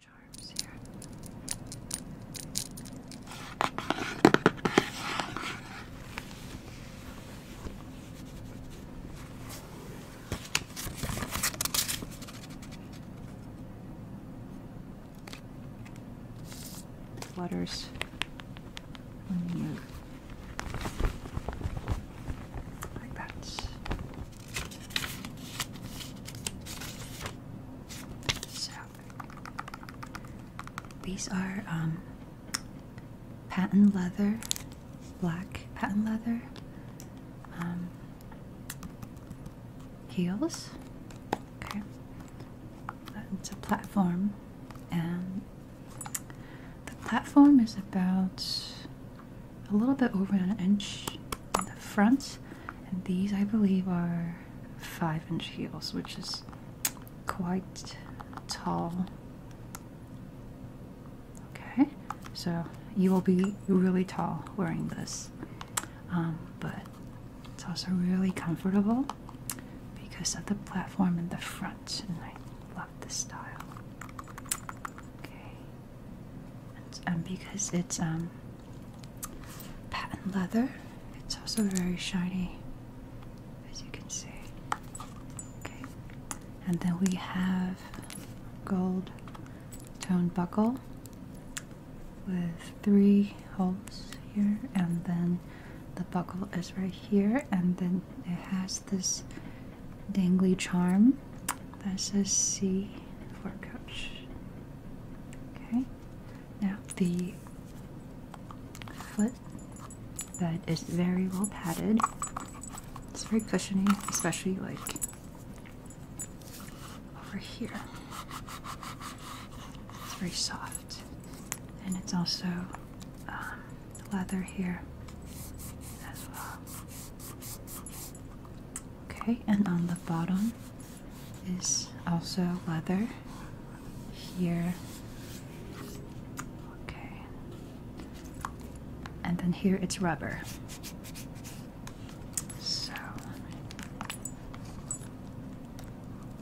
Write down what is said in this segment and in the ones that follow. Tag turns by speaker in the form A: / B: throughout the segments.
A: charms here. Waters when you like that. So these are um, patent leather, black patent leather um, heels. Okay, it's a platform, and the platform is about a little bit over an inch the front, and these I believe are five inch heels, which is quite tall. Okay, so you will be really tall wearing this, um, but it's also really comfortable because of the platform in the front, and I love the style. Okay, um, because it's um, patent leather, it's also very shiny, as you can see. Okay, and then we have gold tone buckle with three holes here, and then the buckle is right here, and then it has this dangly charm that says C for coach. Okay, now the foot bed is very well padded. It's very cushiony, especially like over here. It's very soft, and it's also um, leather here as well. Okay, and on the bottom is also leather here. Okay. And then here it's rubber. So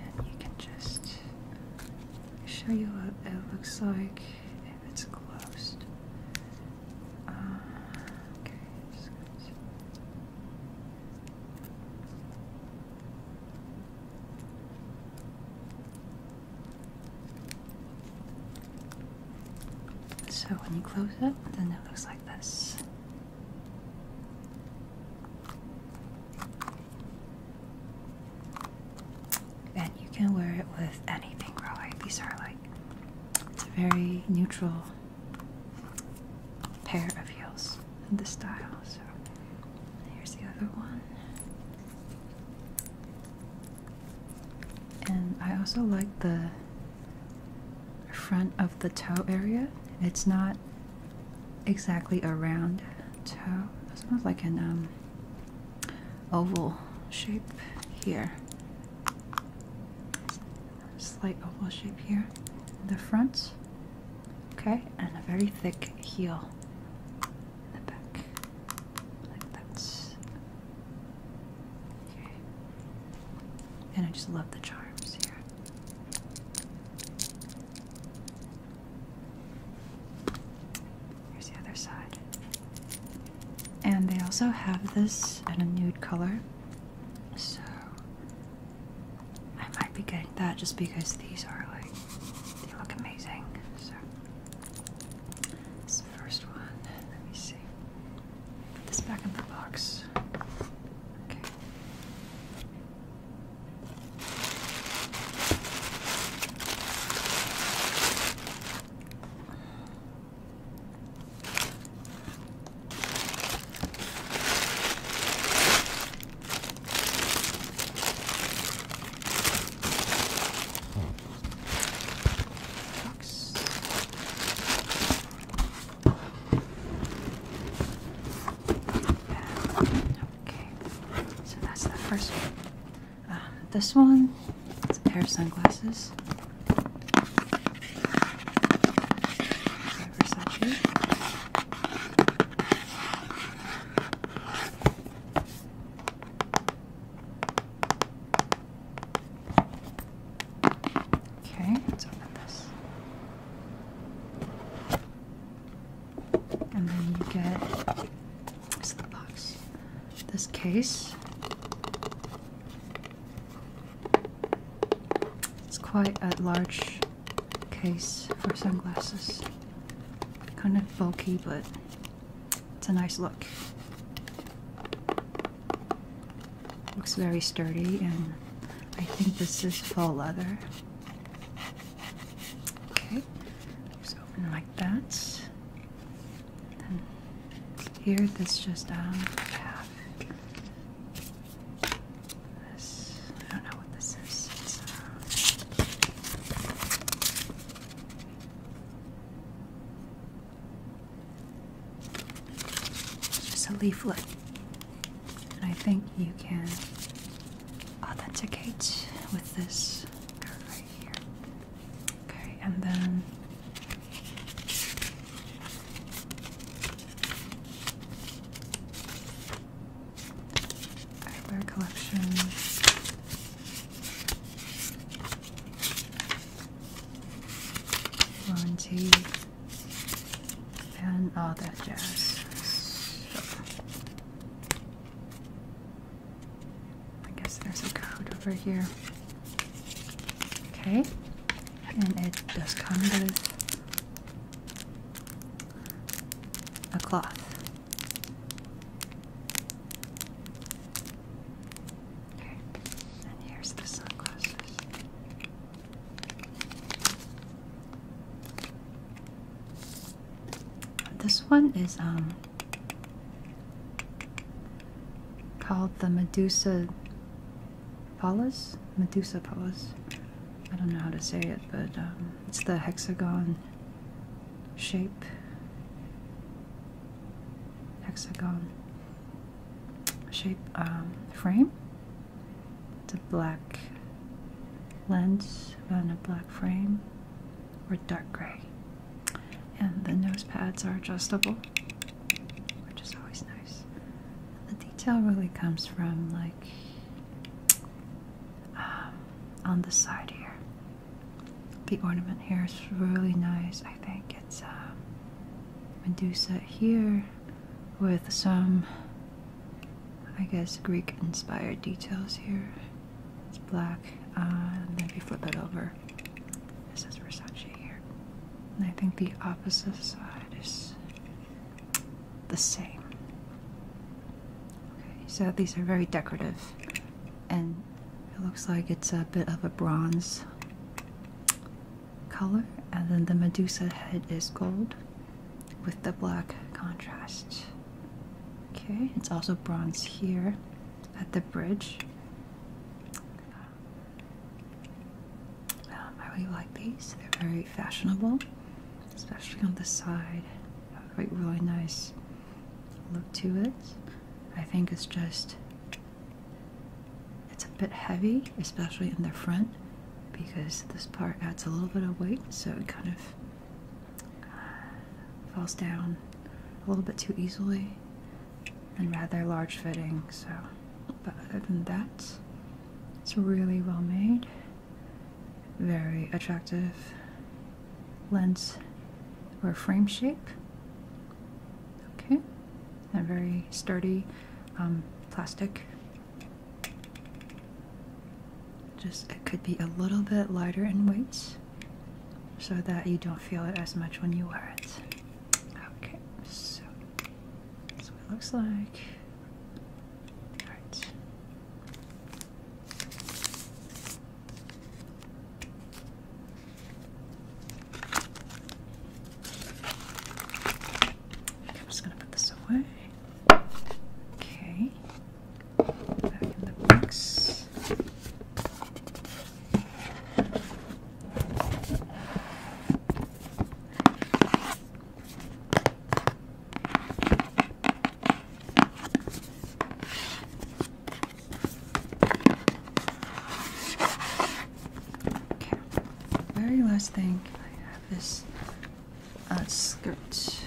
A: and you can just show you what it looks like if it's closed. Uh, so when you close it, then it looks like this. And you can wear it with anything, really. These are like, it's a very neutral pair of heels in this style. So here's the other one. And I also like the front of the toe area. It's not exactly a round toe. It's more like an um, oval shape here slight oval shape here the front. Okay, and a very thick heel the back. Like that. Okay. And I just love the charms here. Here's the other side. And they also have this in a nude color. So I might be getting that just because these are like they look amazing. So this is the first one. Let me see. Put this back in the box. Okay. Okay, so that's the first one. Um, this one, it's a pair of sunglasses. Okay, let's open this. And then you get this box. This case. It's quite a large case for sunglasses. Kind of bulky, but it's a nice look. Looks very sturdy, and I think this is full leather. Okay, just open like that. And here, this just um, half. This, I don't know what this is. It's, just a leaflet. And I think you can authenticate with this right here. Okay, and then Eyewear collection. Warranty and all that jazz. So, I guess there's a code over here. Okay, and it does come with a cloth. Okay, and here's the sunglasses. This one is um called the Medusa Pallas? Medusa Pallas. I don't know how to say it, but um, it's the hexagon shape. Hexagon shape um, frame. It's a black lens on a black frame or dark gray. And the nose pads are adjustable which is always nice. the detail really comes from like um, on the side here. The ornament here is really nice. I think it's a um, Medusa here with some, I guess, Greek-inspired details here. It's black. Uh, and then if you flip it over, this is Versace here. And I think the opposite side is the same. Okay, so these are very decorative, and it looks like it's a bit of a bronze color, and then the Medusa head is gold with the black contrast. Okay, it's also bronze here at the bridge. Um, I really like these. They're very fashionable, especially on the side. A really, nice look to it. I think it's just it's a bit heavy, especially in the front, because this part adds a little bit of weight, so it kind of uh, falls down a little bit too easily and rather large fitting. So, but other than that, it's really well made, very attractive lens or frame shape. Okay, and very sturdy um, plastic. Just it could be a little bit lighter in weight so that you don't feel it as much when you wear it. Okay, so that's what it looks like. I'm just going to put this away. Okay. Back in the box. Very last thing, I have this uh, skirt.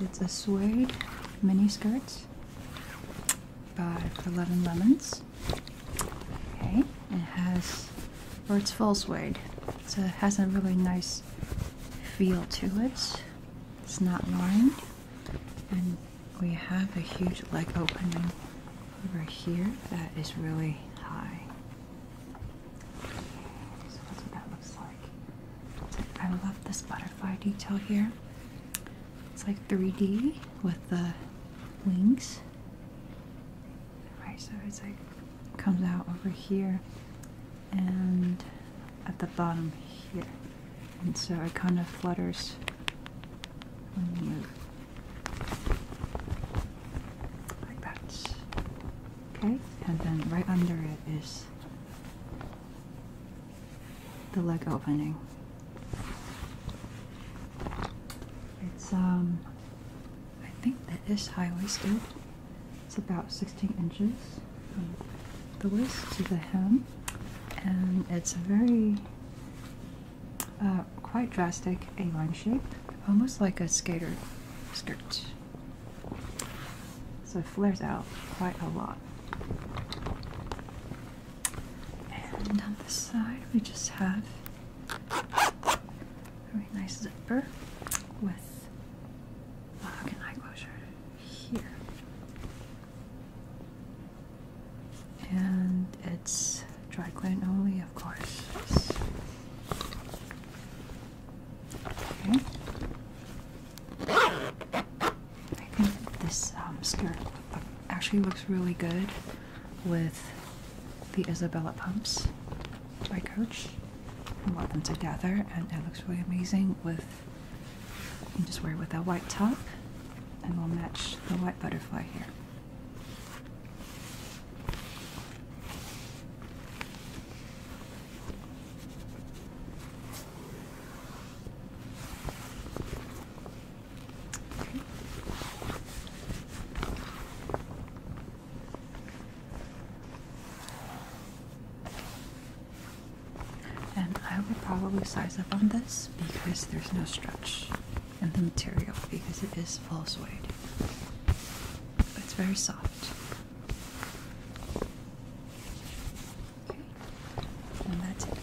A: It's a suede mini skirt by Eleven Lemons. Okay, it has, or it's full suede, so it has a really nice feel to it. It's not lined, and we have a huge leg opening over here that is really high. So that's what that looks like. I love this butterfly detail here. It's like 3D with the wings. Right, so it's like comes out over here and at the bottom here. And so it kind of flutters when you move. Like that. Okay, and then right under it is the leg opening. It's um I think that is high waisted. It's about 16 inches from the waist to the hem, and it's a very uh, quite drastic A-line shape, almost like a skater skirt. So it flares out quite a lot. And on the side, we just have very nice zipper with lock oh, and eye closure here. And it's dry clean only, of course. Okay. I think this um, skirt actually looks really good with the Isabella pumps by Coach. I love them together, and it looks really amazing with. You can just wear it with a white top, and we'll match the white butterfly here. And I would probably size up on this because there's no stretch in the material because it is full suede. It's very soft. Okay. And that's it.